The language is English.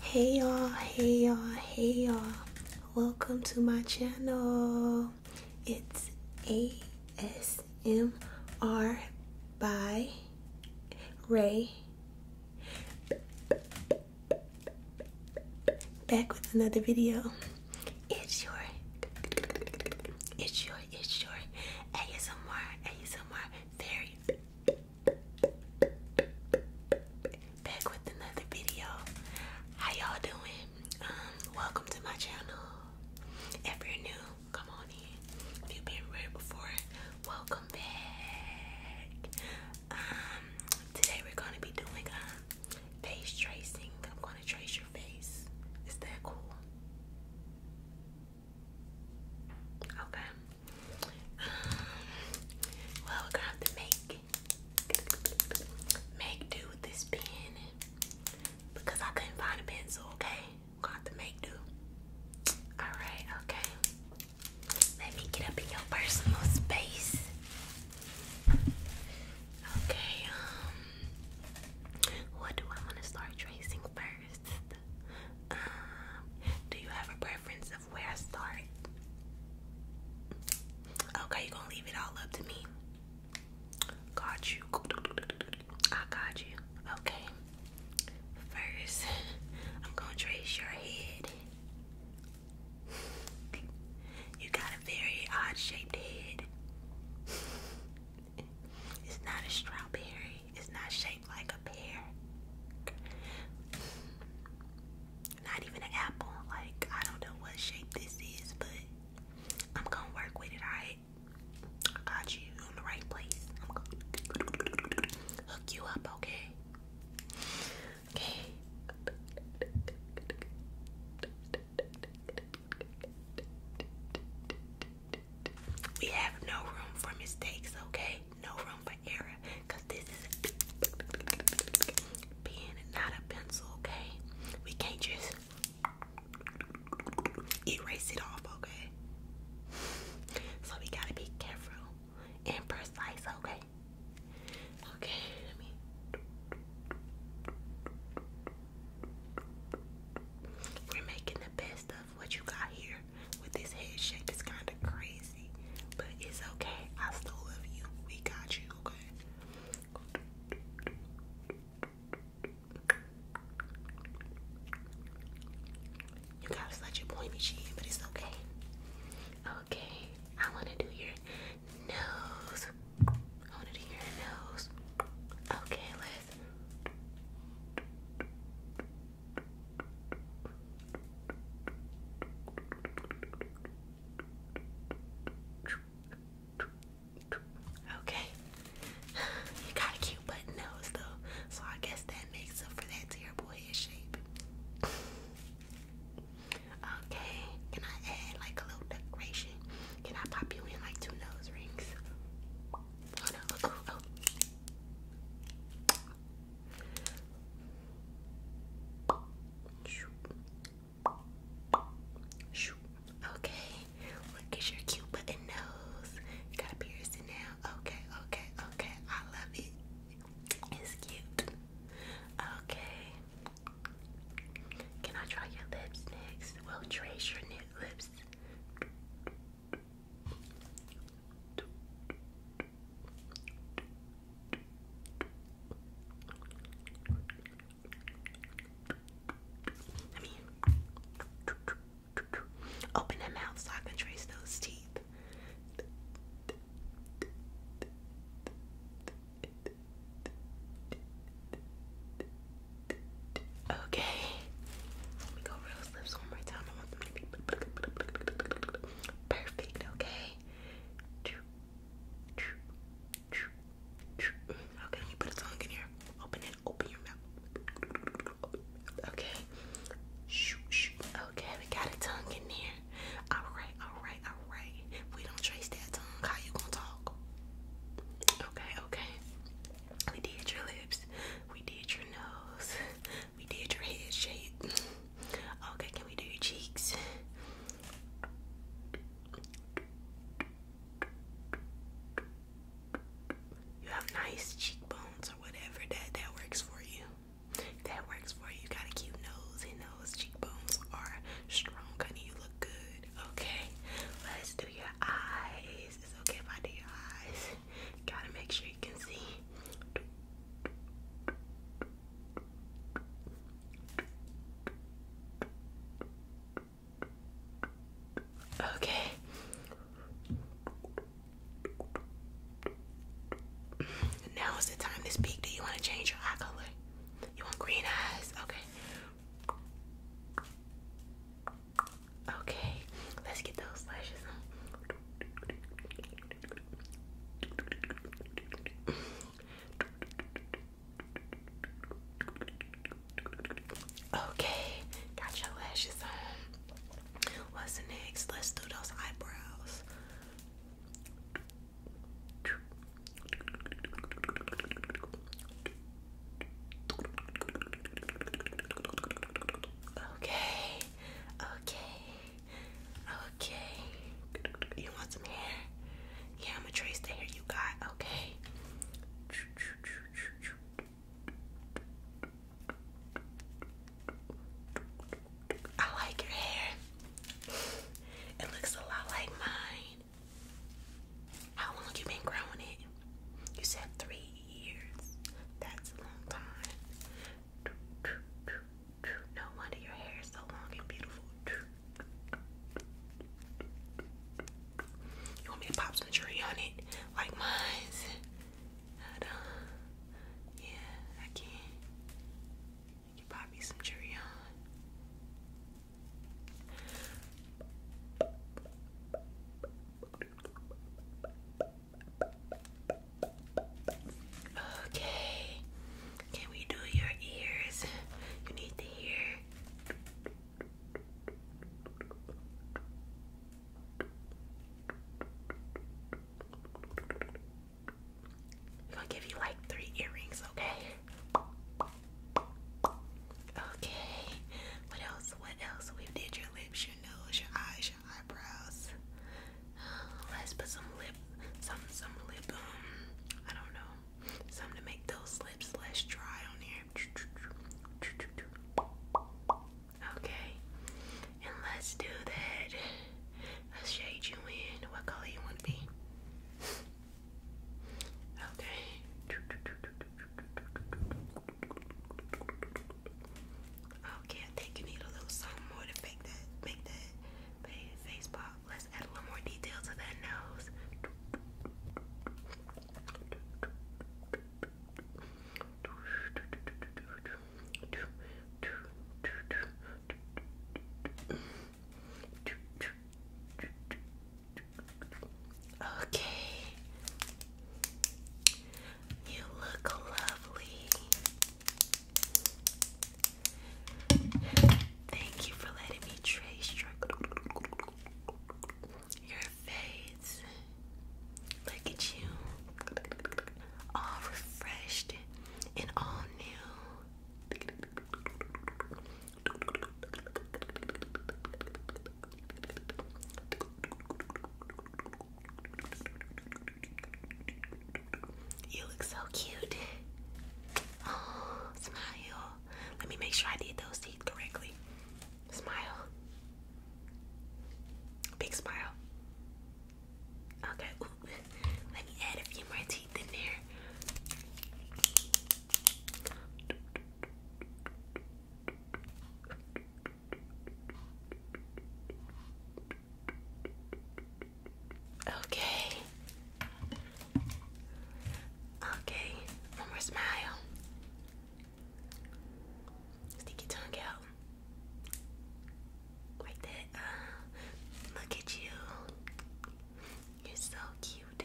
hey y'all hey y'all hey y'all welcome to my channel it's asmr by ray back with another video it's your it's your it's your asmr asmr very back with another video. How y'all doing? Um, welcome to my channel. If you're new, come on in. If you've been here before, welcome back. Um, today we're gonna be doing um face tracing. I'm gonna trace your face. Is that cool? Okay well, we're gonna have to make make do with this pen because I couldn't find a pencil. Okay, we're gonna have to make do. All right. Okay. Let me get up in your personal space. Okay. Um, what do I want to start tracing first? Um, do you have a preference where I start. Okay, you gonna leave it all up to me. Got you. I got you. Okay. First, I'm gonna trace your head. You got a very odd shaped head. It's not a strawberry. It's not shaped like a pear. Not even an apple. Like, I don't know what shape this is, but I'm gonna work with it, alright? got you in the right place. I'm gonna hook you up, okay? Okay. We have no room for mistakes, okay? no room for error because this is a pen, not a pencil, okay? We can't just erase it off, okay? So we gotta be careful and precise, okay? Okay, let me. We're making the best of what you got here with this head shape. It's kind of crazy, but it's okay. I still love you. We got you, okay? You got such a pointy chin, but it's okay. Okay, I want to do your nose. I want to do your nose. Okay, let's. Okay. You got a cute button nose though, so I guess that makes up for that terrible head shape. Okay, can I add like a little decoration? Can I pop you in like two nose rings? Okay, look at your cute button nose. You got a piercing now. Okay, okay, okay. I love it. It's cute. Okay. Can I try your lips next? We'll trace your knit lips. Let me open her mouth so I can trace those teeth. Okay, I want perfect, okay? Mm-hmm. Okay, Okay. we got a tongue in there. Alright, alright, alright. We don't trace that tongue. How you gonna talk? Okay, okay. We did your lips. We did your nose. We did your head shape. Okay, can we do your cheeks? You have nice cheekbones or whatever that that works for you. That works for you. got a cute nose and those cheekbones are strong, honey. You look good. Okay, let's do your eyes. It's okay if I do your eyes. Gotta make sure you can see. Okay. Now is the time to speak. Do you want to change your eye color? You want green eyes? Okay. Okay, let's get those lashes on. Okay, got your lashes on. What's next? Let's do those eyebrows. Okay, okay, okay. You want some hair? Yeah, I'm gonna trace the hair you got, okay? I like your hair. It looks a lot like mine. How long you been growing it? You said three that's a long time. No wonder your hair is so long and beautiful. You want me to pop some jewelry on it? Like mine's? Yeah, I can. I can pop you some jewelry on. Okay. Can we do your ears? You need to hear. I'm gonna give you like three earrings, okay? Okay. What else? What else? We did your lips, your nose, your eyes, your eyebrows. Um, let's put some lip, some some lip. Um, I don't know, something to make those lips less dry on here. Okay, and let's do that. Let's shade you in. What color you want to be? Okay. Okay, I think you need a little more to make that make that face pop. Let's add a little more detail to that nose. Okay. You look lovely. Thank you for letting me trace your, face. Look at you. All refreshed and all new. You look so cute. Oh, smile. Let me make sure I did those teeth correctly. Smile. Big smile. Okay, let me add a few more teeth in there. Okay. Okay. One more smile. Stick your tongue out. Like that. Uh, look at you. You're so cute.